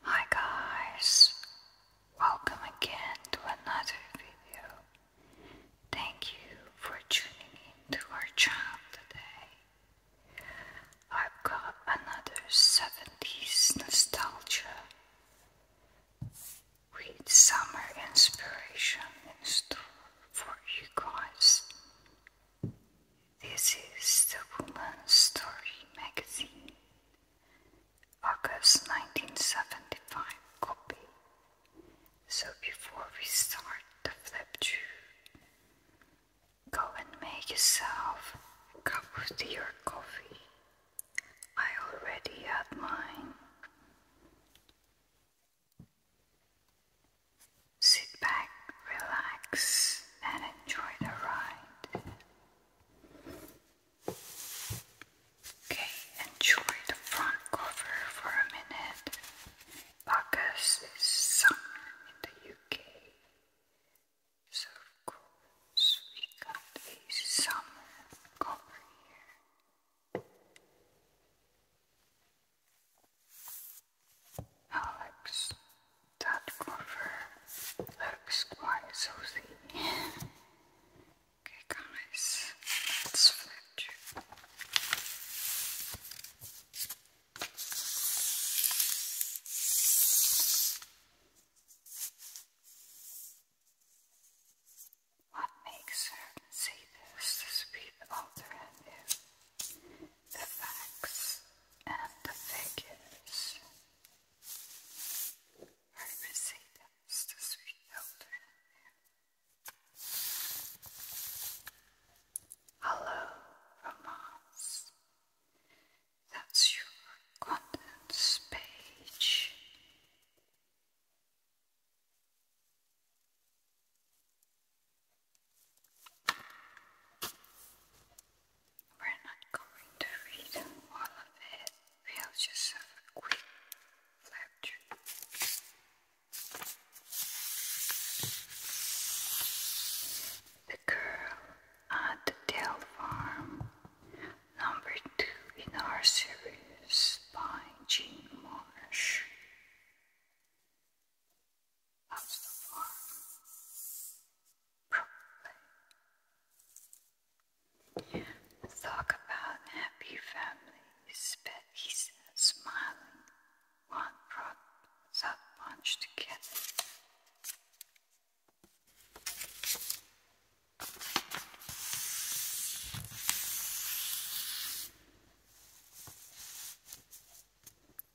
Hi guys, welcome again to another video. Thank you for tuning in our channel today. I've got another 70s nostalgia with summer inspiration in store for you guys. This is the Woman's Story magazine. August 1975 copy. So before we start the flip through, go and make yourself a cup of tea coffee. I already had mine. Sit back, relax, and enjoy the ride. Okay, enjoy the front cover for a minute. Bacchus summer in the UK. So of we got a summer cover here. Alex that cover looks quite saucy. okay, guys, let's flip. What makes her see this is the alternative, the facts and the figures. I would Hello, romance. That's your contents page. We're not going to read all of it, we'll just have a quick flip through. The Girl at the Tail Farm, number two in our series by Jean Marsh. Loves the farm. Talk about happy family. but he smiling. One brought that bunch together.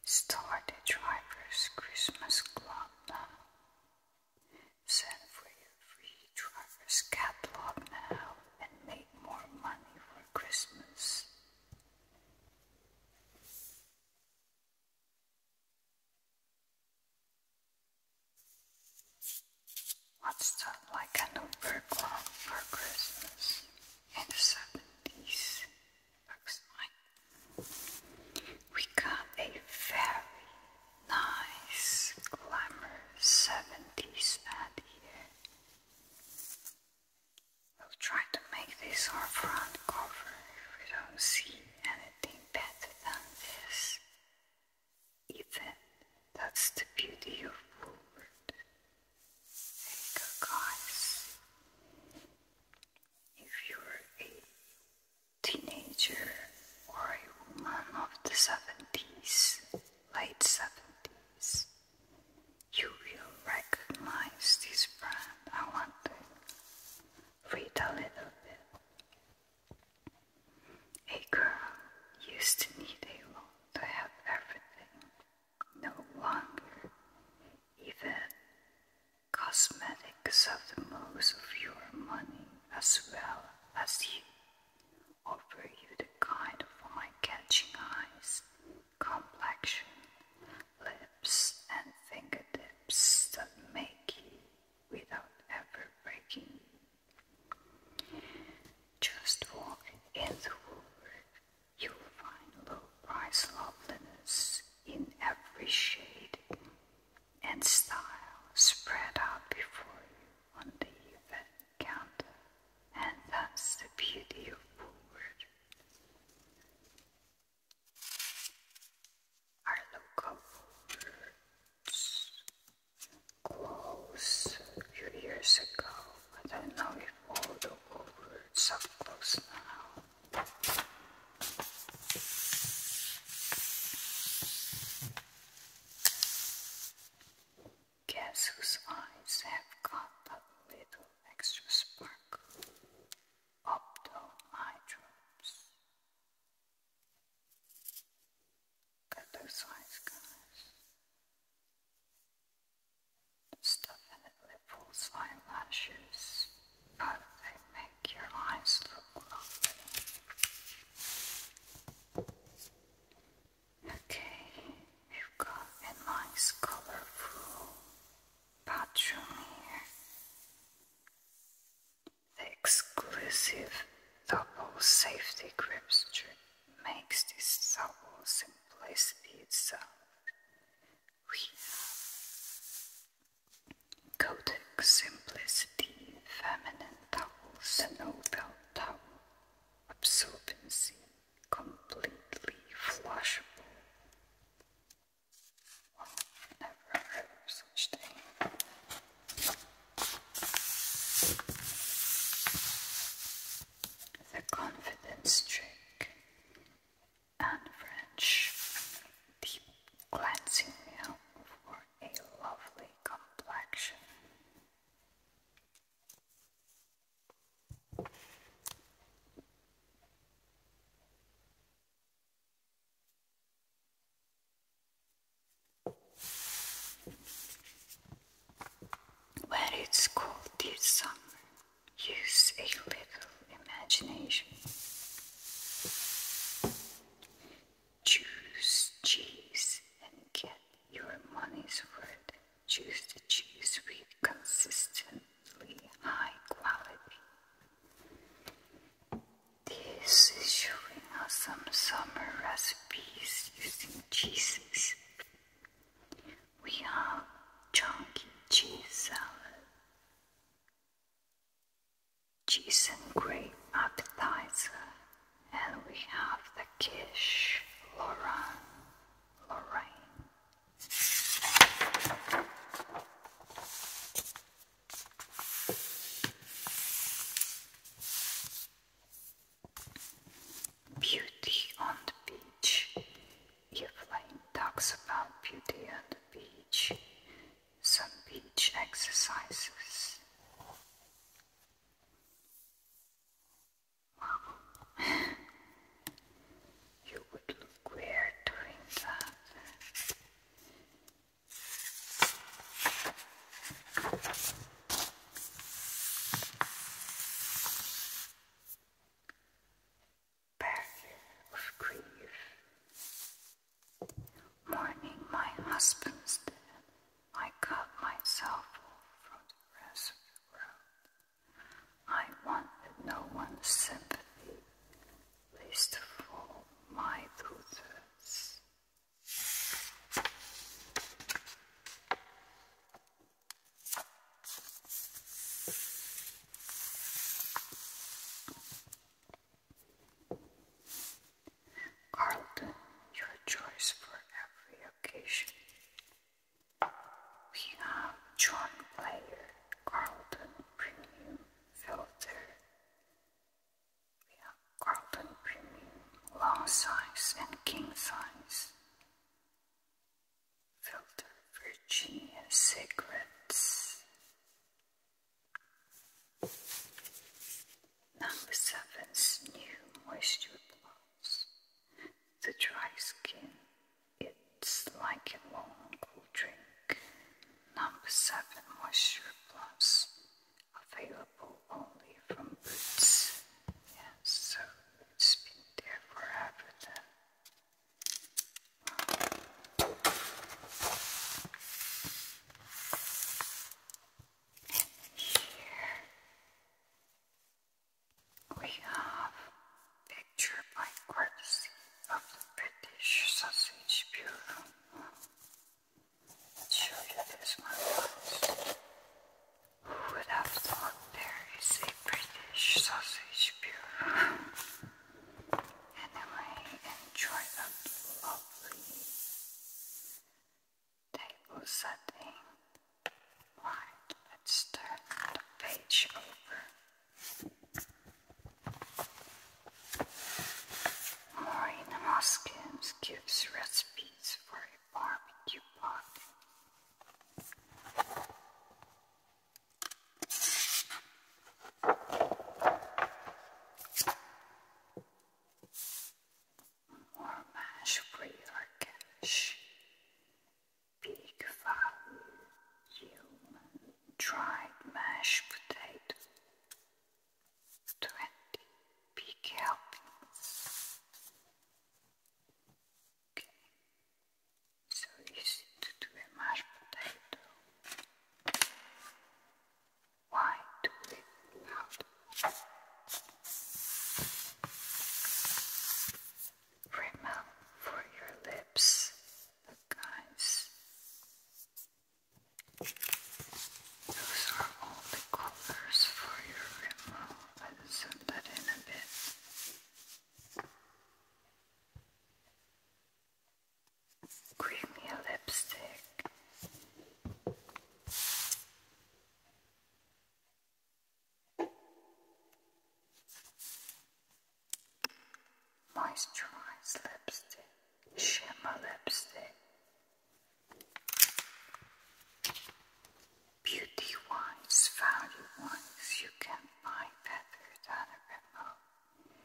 Start the driver's Christmas club now. Send for your free driver's catalog now and make more money for Christmas. What's done like an Uber club for Christmas in the 70s Box 9. We got a very nice glamour 70s ad here. We'll try to make this our front cover if we don't see anything better than this. Even that's the beauty of Woolworth. There If you're a teenager or a woman of the 70s, late 70s, you will recognize this brand. I want to read a little bit. A girl used to need a lot to have everything, no longer even cosmetics of the most of your money as well as you. Offer you the kind of eye-catching eyes, complexion, lips, and fingertips that make you without ever breaking Just walk in the woodwork, you'll find low-price loveliness in every shade and style spread out before you on the event counter, and that's the beauty of Woolward. local Woolwards closed a few years ago. I don't know if all the Woolwards are closed now. Guess whose eyes have got that little extra sparkle? Opto eye drops. Cut those eyes, guys. Stuff eyelashes but they make your eyes look lovely. Okay, you've got a nice colorful bathroom here. The exclusive double safety grip strip makes this double simplicity itself. We have Kodak Simplicity Feminine Towels, the Towel, Absorbency, Completely Flushable. never heard such thing. The confidence trick and French deep cleansing milk for a lovely complexion. When it's cold this summer, use a little imagination. Choose cheese and get your money's worth. Choose the cheese with consistently high quality. This is showing us some summer recipes using cheeses. We have chunky cheese salad, Jason grape appetizer, and we have the quiche, Lauren, Lorraine. Beauty on the beach. Evelyn talks about beauty on the beach some beach exercises. Wow. you would look weird doing that path of grief. Mourning my husband's death, I cut myself off from the rest of the world. I wanted no one's sympathy, least of all my daughters. Carlton, your choice for every occasion. We have John Player, Carlton Premium Filter. We have Carlton Premium Long Size and King Size. Filter Virginia Secrets. Number seven's new moisture blows. The dry skin, it's like a long cold drink. Number seven moisture plus available only from Boots. Yes, so it's been there forever then we have a picture by courtesy of the British sausage bureau. Let's show you this one first. Who would have thought there is a British sausage bureau? Anyway, enjoy that lovely table setting. Right, let's turn the page over. Marina Moskins gives recipes for a barbecue pot. Or mash for your Big value human dried mashed potato. Twenty big helpings so easy to do a mashed potato. Why do it without? Remember for your lips, guys. Those are all the colors for your remote. I'll zoom that in a bit creamy lipstick. Moisturized lipstick, shimmer lipstick, beauty wise, value wise, you can buy better than a remote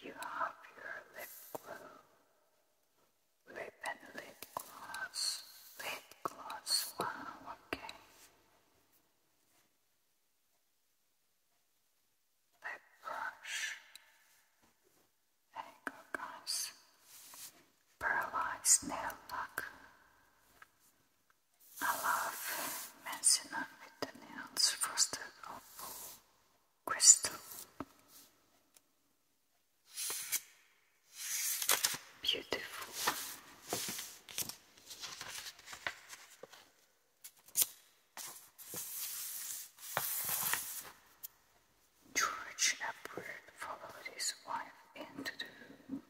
you have your lip glue, lip and lip gloss, lip gloss, wow, okay. Lip brush. There you go, nail luck. I love messing the nails, frosted or oh, crystal. Beautiful. George Edward followed his wife into the room,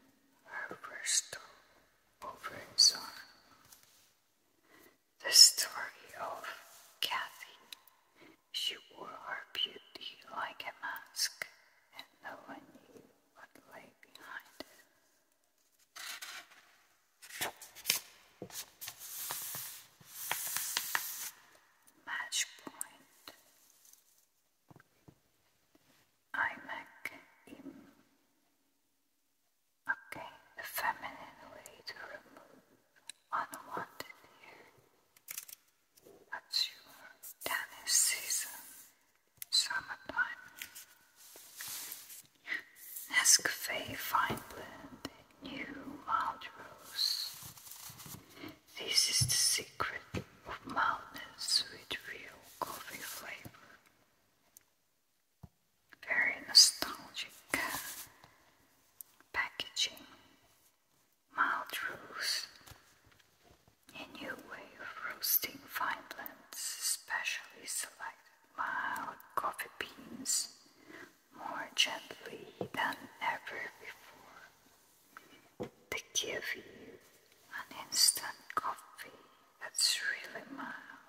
her first over his arm the story of Kathy. She wore her beauty like a mask, and no one knew what lay behind it. Match Okay, the feminine way to remove unwanted hair. That's your tannish season, summertime. Nescafe Fine Blend New Mild Rose. This is the secret of mildness with real coffee flavor. Very nostalgic packaging, mild roast, a new way of roasting fine blends, especially selected mild coffee beans more gently than ever before. They give you an instant coffee that's really mild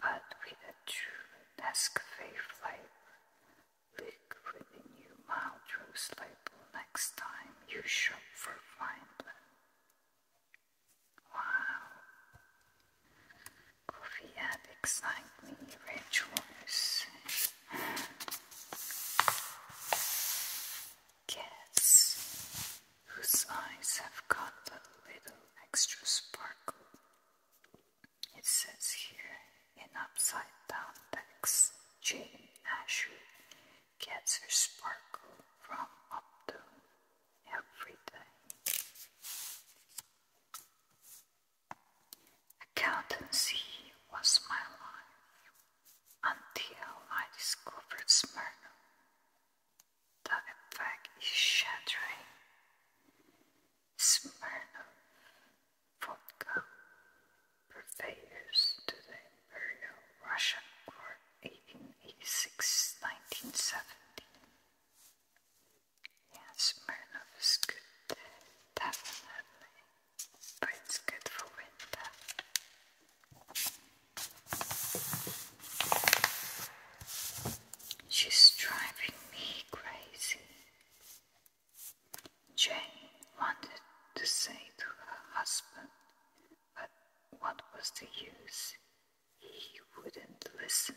but with a true Nescafe flavor. Look for the new mild rose label next time you shop for Vineland. Wow! Coffee addicts like me rejoice whose eyes have got a little extra sparkle. It says here in upside down text, Jane Asher gets her sparkle from Opto every day. Accountancy was my life until I discovered Smyrna. The effect is shattering. Smyrna vodka purveyors to the Russian Court 1886 Yes, Smyrna is good, definitely, but it's good for winter. She's driving me crazy. Jane wanted to say to her husband, but what was the use? He wouldn't listen.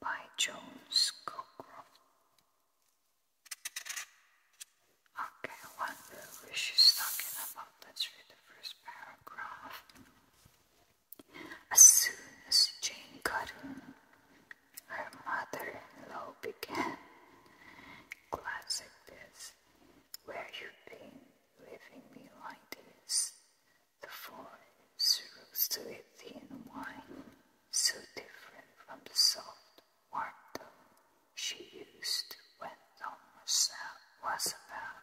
By Jones Cockcroft. Okay, I wonder where she's talking about. Let's read the first paragraph. As soon as Jane got in, her mother-in-law began. Classic this. Where you been leaving me like this? The voice rose to a thin whine, so different from the soft warm tone she used when Thomas was about.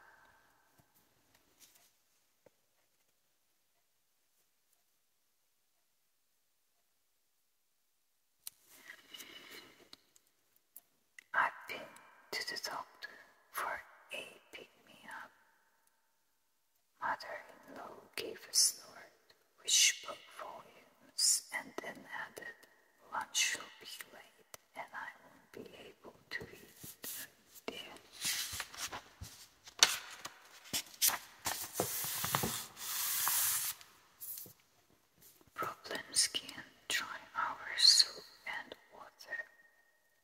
I've been to the doctor for a pick-me-up. Mother-in-law gave a snort, which spoke volumes, and then added, "Lunch will be late, and I won't be able to eat." dear. Problems dry our soap and water.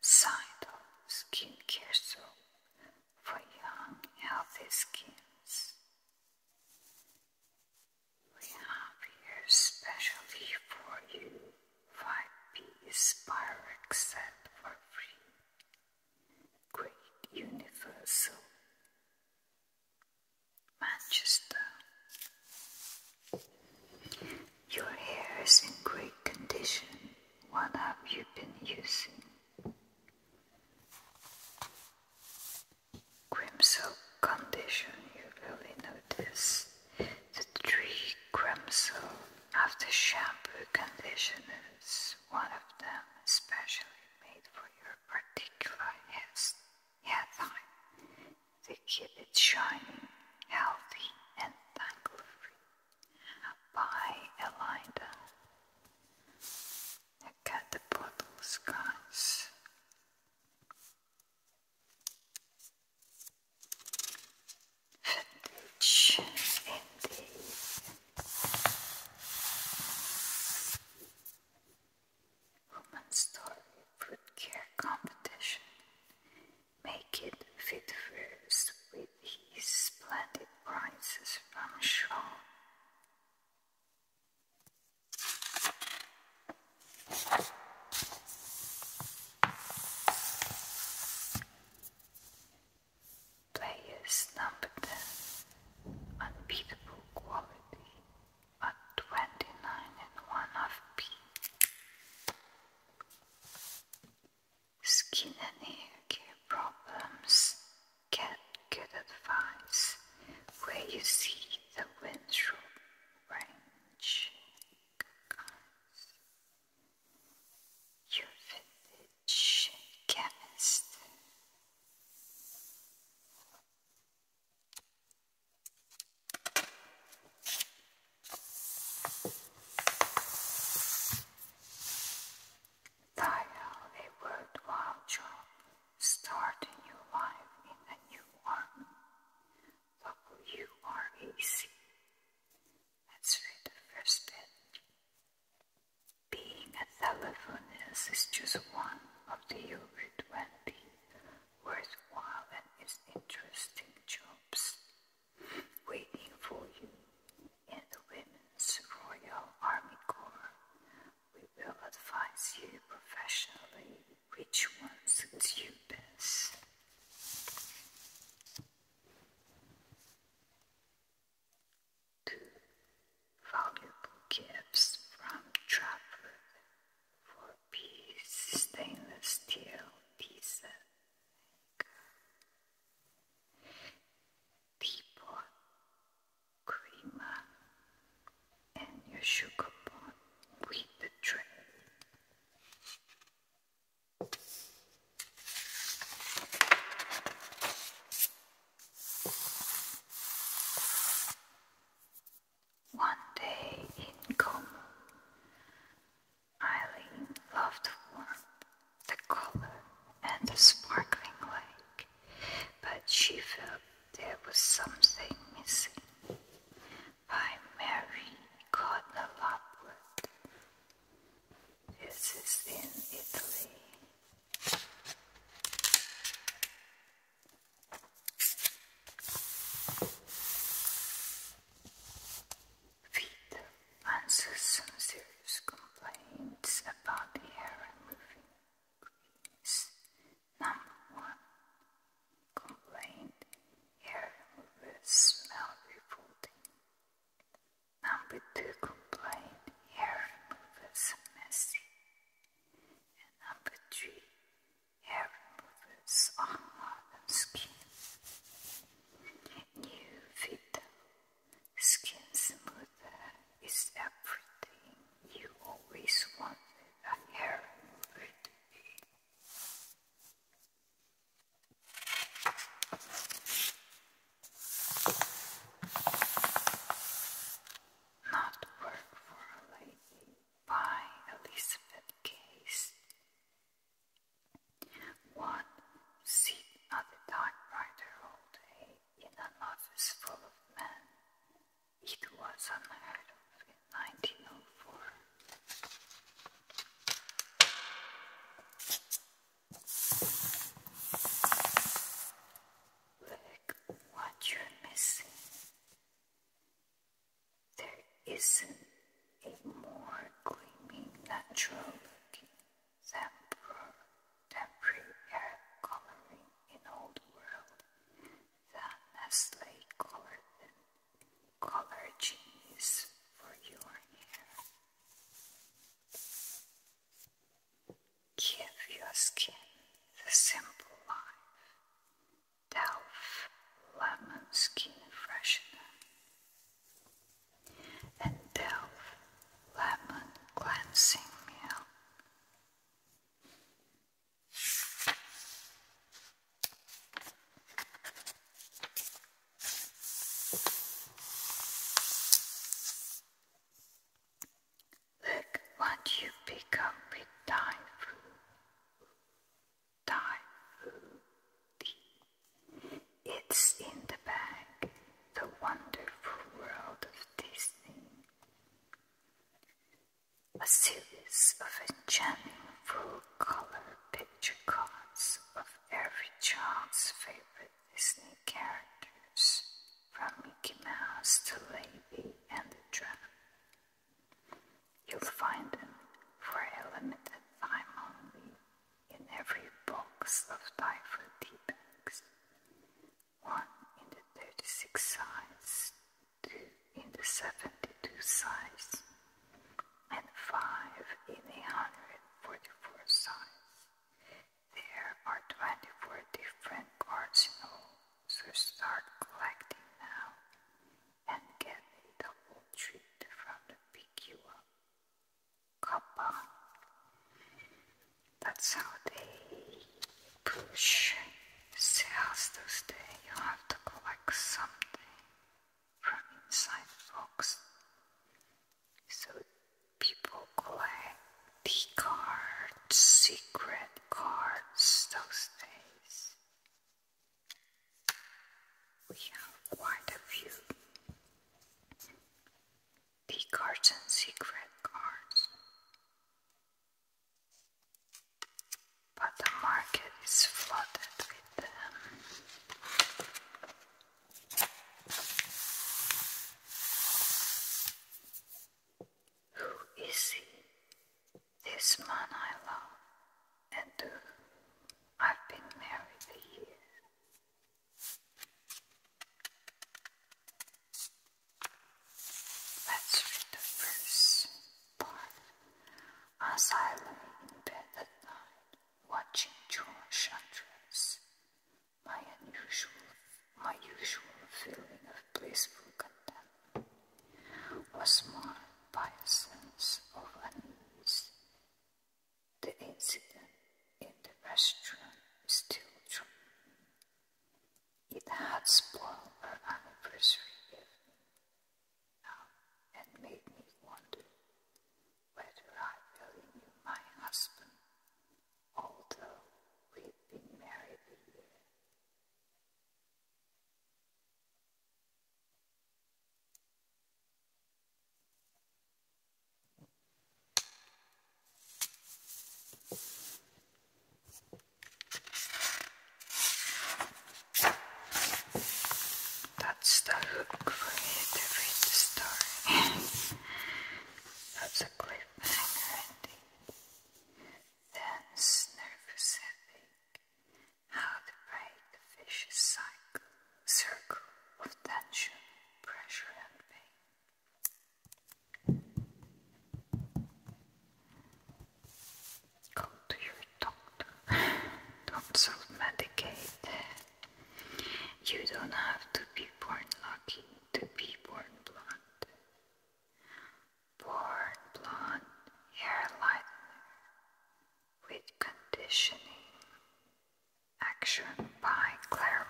Side of skincare soap for young, healthy skins. We have here specially for you 5-piece pirate set for free. Great Universal. Manchester. Your hair is in great condition. What have you been using? Crimson condition, you really notice. The three tree of the shampoo conditioner is one of them especially made for your particular hair type. They keep it shining, healthy, and tangle-free. Buy a linda. Look the bottles, guys vintage indie woman story fruit care competition make it fit first with his splendid prizes from Shaw Players number 10, unbeatable quality at 29 and 1 FP. Skin and hair care problems get good advice where you see the windshield range your vintage chemist. Dial a worthwhile job. Start a new life in a new army. Look Let's the first bit. Being a telephonist is just one of the over 20 worthwhile and is interesting jobs waiting for you in the Women's Royal Army Corps. We will advise you professionally which one suits you best. Valuable gifts from Trapper for piece stainless steel pizza teapot, creamer, and your sugar pot with the tray. One day in Como, Eileen loved the warmth, the color, and the sparkling lake, but she felt there was something missing by Mary Cardinal This is in Italy. Peter answers some serious complaints about the hair removing creams. Number one complaint here smell revolting. Number two complaint, hair removers are messy. And number three, hair removers are hard on skin. New Vita Skin Smoother is everything you always wanted a hair remover to be. Not Work for a Lady by Elizabeth Case. One sit at the typewriter all day in an office full of men. It was unheard of in 1904. Look what you're missing. There isn't a more gleaming natural looking sampler temporary coloring in old world than Nestle colored them color genies for your hair. Give your skin the simple life. Delve Lemon Skin Freshener and Delve Lemon Cleansing Milk. Look what you pick up with Thai food. Thai food. It's in the bag. The wonderful world of Disney. A series of enchanting food color picture cards of every child's favorite Disney characters, from Mickey Mouse to Lady and the Tramp. You'll find them for a limited time only in every box of Typhoid tea bags. One in the 36 size, two in the 72 size, and five in the 144 size. There are 24 different cards in all, so start collecting now and get the whole treat from the PQ Kappa. That's how they push sales those days. You have to collect something from inside the So people collect the cards, secret cards those days. We have quite a few. The cards and secret cards. But the market is flooded with who is he? This man I love, and to whom I've been married a year. Let's read the first part. As I lay in bed at night, watching your chakras, my unusual, my usual feeling of blissful content was marred by a sense of unease. The incident in the restaurant still troubling me. It had spoiled our anniversary and made me wonder whether I really knew my husband, although we'd been married a year. That's the hook for you to read the story. That's a cliffhanger ending. Thence, nervous headache. How to break vicious cycle, circle of tension, pressure, and pain. Go to your doctor. Don't self medicate. You don't have to be born lucky to be born blonde. Born blonde hair lightener with conditioning. Action by Claremont.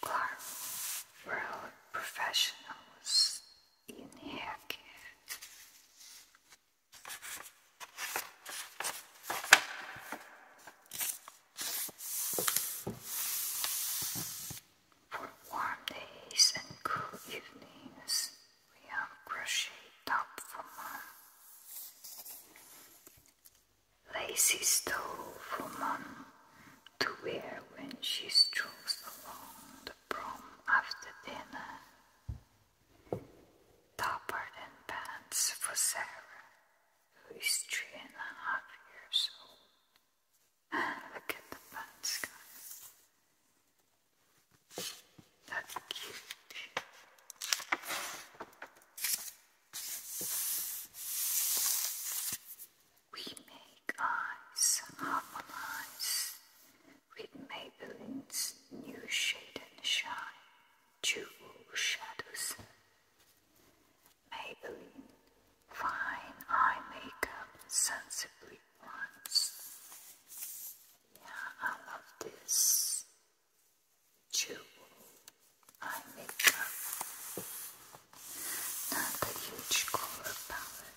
Claremont, world professionals innerken. For warm days and cool evenings, we have crochet top for mom, lacy stole for mom to wear when she strolls along broom after dinner. Topper and pants for Sarah, who is three and a half years old. Look at the pants guy. That's cute. We make eyes harmonize with Maybelline's new shade and shine, jewel shadows. Maybelline fine eye makeup sensibly blends. Yeah, I love this jewel eye makeup. Not a huge color palette.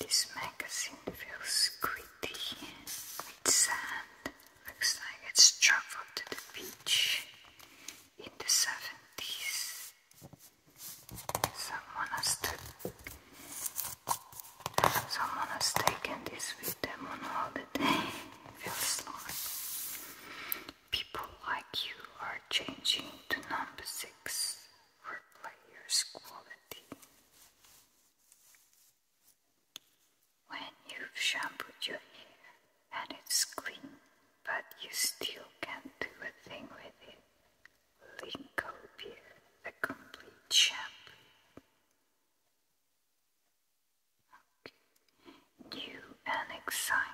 This magazine feels gritty with sand. Looks like it's traveled to the beach in the 70s. Someone has, taken this video them on holiday feels like people like you are changing to number six for players' quality. When you've shampooed your hair and it's clean, but you still can't do a thing with it, Linko Beer, the complete shampoo. New and exciting.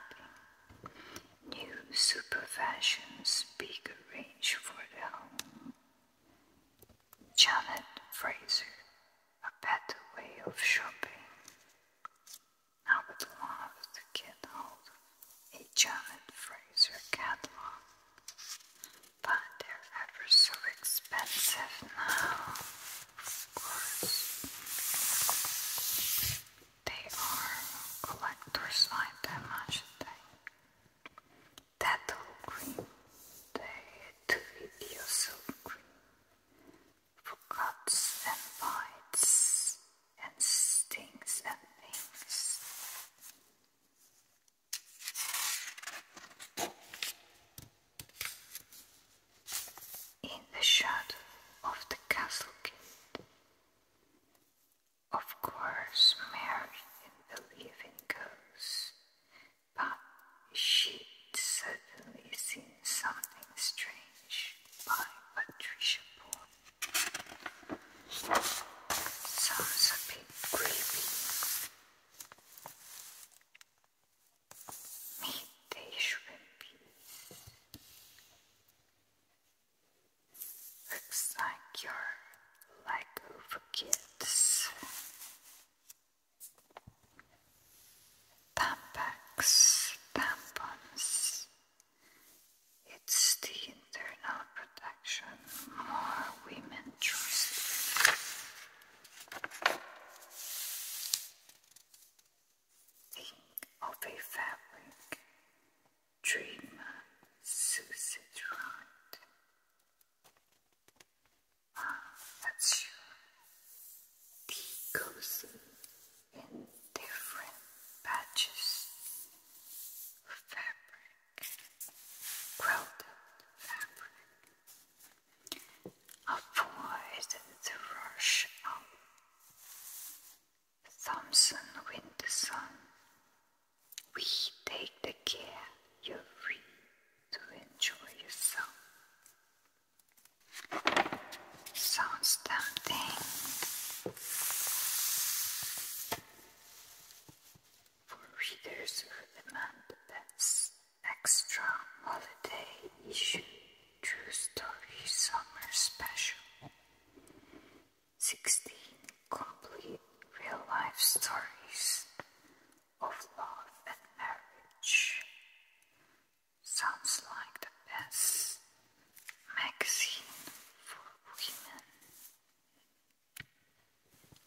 New super fashions, bigger range for the home. Janet Fraser, a better way of shopping. I would love to get hold of a Janet Fraser catalog, but they're ever so expensive expensive now, of course. They are collector's item, I should say. Tattle cream, the video silk for cuts and bites, and stings and things. In the shadow of the castle gate. Of course, Mary didn't believe in ghosts, but she'd certainly seen something strange by Patricia Bourne. Sounds a bit creepy meat they shrimp Looks like you're kids. Tampax, tampons. It's the internal protection more women trust Think of a fabric, dreamer, Susie right. Ah, in different batches fabric, quilted fabric, Avoid the rush of Thompson We take the care you're free to enjoy yourself. Sounds tempting. For readers who demand the best. Extra Holiday Issue True Story Summer Special 16 Complete Real Life Stories of Love and Marriage. Sounds like the best magazine for women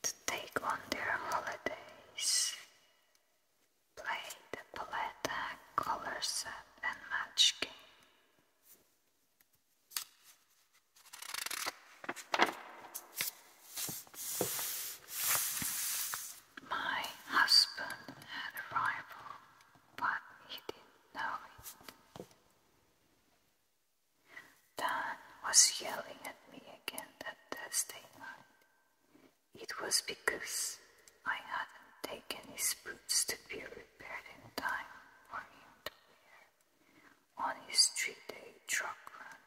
to take on their holidays. Play the palette color set and match game. My husband had a rival, but he didn't know it. Dan was yelling at me again that Thursday night. It was because I hadn't taken his boots to be repaired in time for him to wear on his three-day truck run.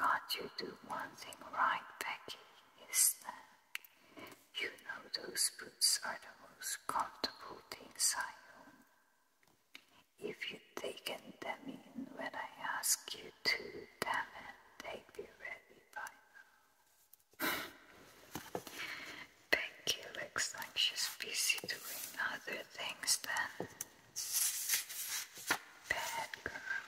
Can't you do one thing right, Becky? he You know those boots are the most comfortable things I own. If you taken them in when I ask you to, damn they'd be ready by now. Becky looks like she's busy doing other things than bad girl.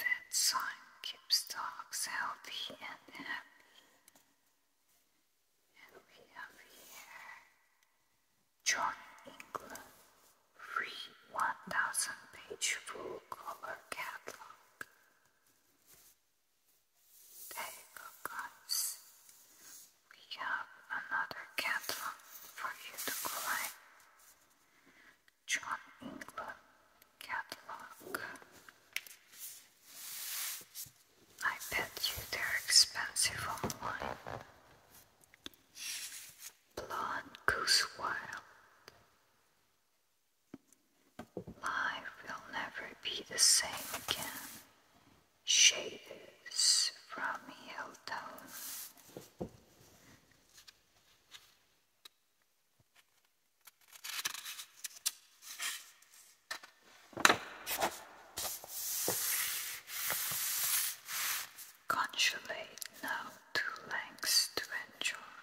That sign keeps dogs healthy and happy. And we have here John England free 1000 page full color catalog. There you go, We have another catalog for you to collect. John England catalog. I bet you they're expensive online. Blonde Goose Wild. Life will never be the same again. Shaders from Hilltown. Conjugate now two lengths to enjoy.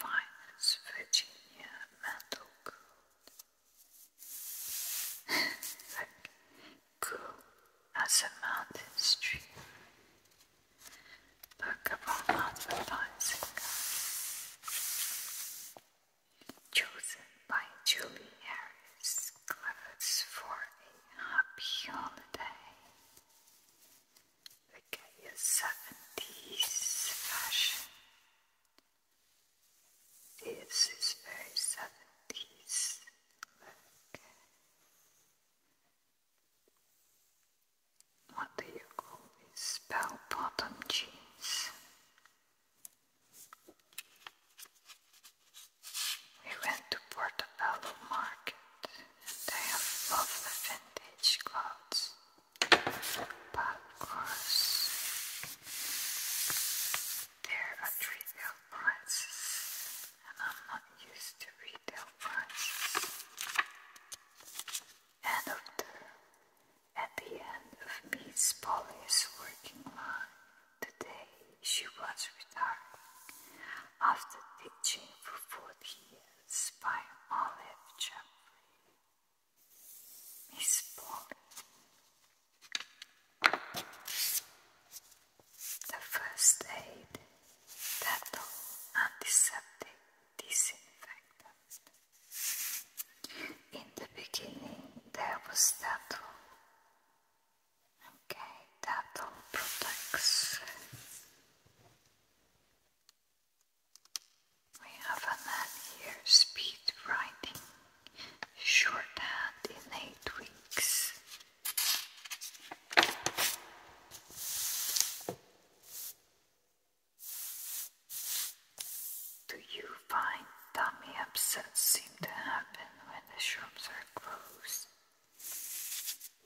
finest Virginia metal cool. like cool as a mountain stream. Look about advertising chosen by Julie Harris Clevets for a happy holiday. The gay fashion. This is very 70s look. What do you call these bell bottom jeans? We went to Portobello Market they have lovely vintage clothes. But of course, they're at retail prices and I'm not used to retail prices. And of the at the end of Miss Polly's working life. Today she was retired, after teaching for 40 years by Olive Jeffrey. Miss Polly. The first aid, dental antiseptic disinfectant. In the beginning there was Tattle. Okay, Tattle protects. We have a man here, speed writing, shorthand in eight weeks. Do you find tummy upsets seem to happen when the shops are closed?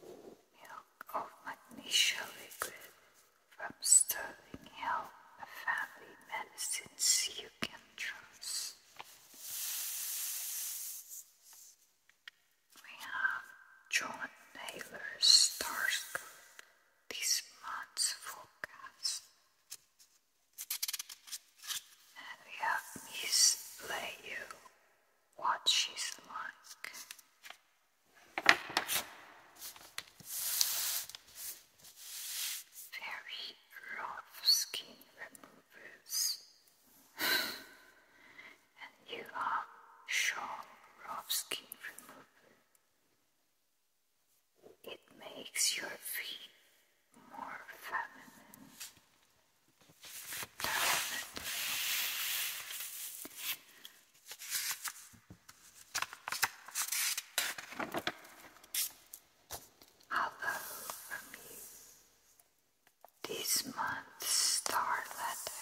Milk of magnesia liquid from Sterling Health, a family medicines you can trust. We have John Naylor's Stars this month's forecast. And we have Miss Layu, what she's like. Very rough skin removers. and you are Sean rough skin remover. It makes your feet more feminine. Hello from you. This month's star letter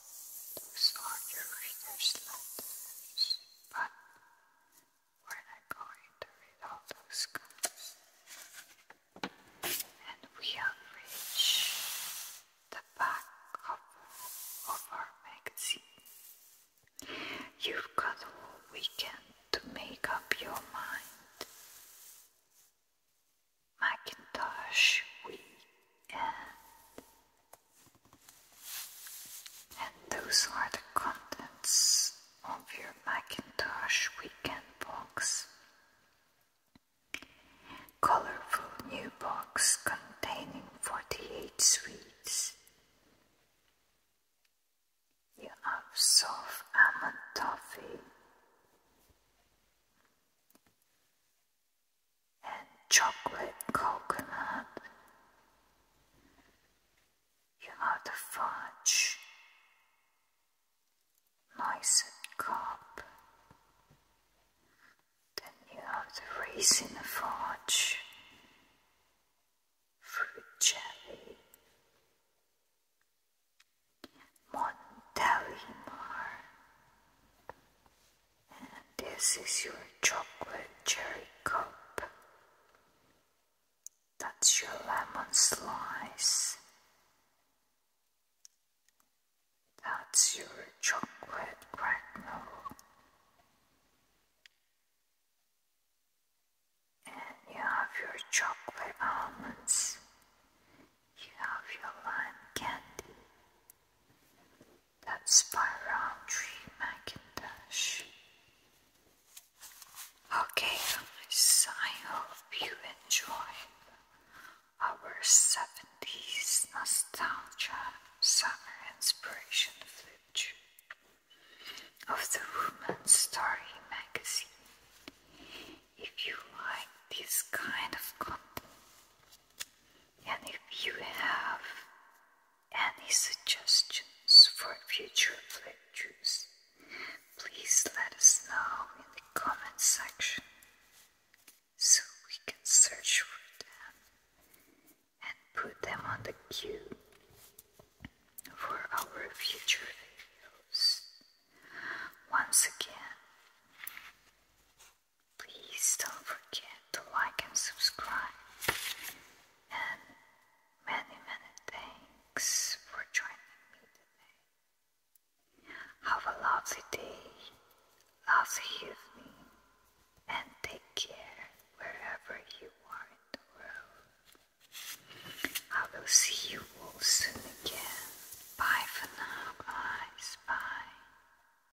those are your reader's letters, but we're not going to read all those guys. And we have reached the back cover of our magazine. You've got a whole weekend to make up your mind. Macintosh Weekend. And those are the contents of your Macintosh Weekend box. Colorful new box containing 48 sweets. You have soft almond toffee, and chocolate coconut. You have the fudge, nice and cup. Then you have the raisin fudge, fruit jelly, Montellimar, and this is your chocolate cherry cup. That's your lemon slice. That's your chocolate cracknel. And you have your chocolate almonds. You have your lime candy. That spiral tree, Macintosh. Okay, guys, I hope you enjoyed our 70s nostalgia summer inspiration footage of the Woman's Story magazine. If you like this kind of content, and if you have any suggestions for future lectures, please let us know in the comment section so we can search for them and put them on the queue for our future videos. Once again, Please don't forget to like and subscribe. And many, many thanks for joining me today. Have a lovely day, lovely evening, and take care wherever you are in the world. I will see you all soon again. Bye for now, guys. Bye.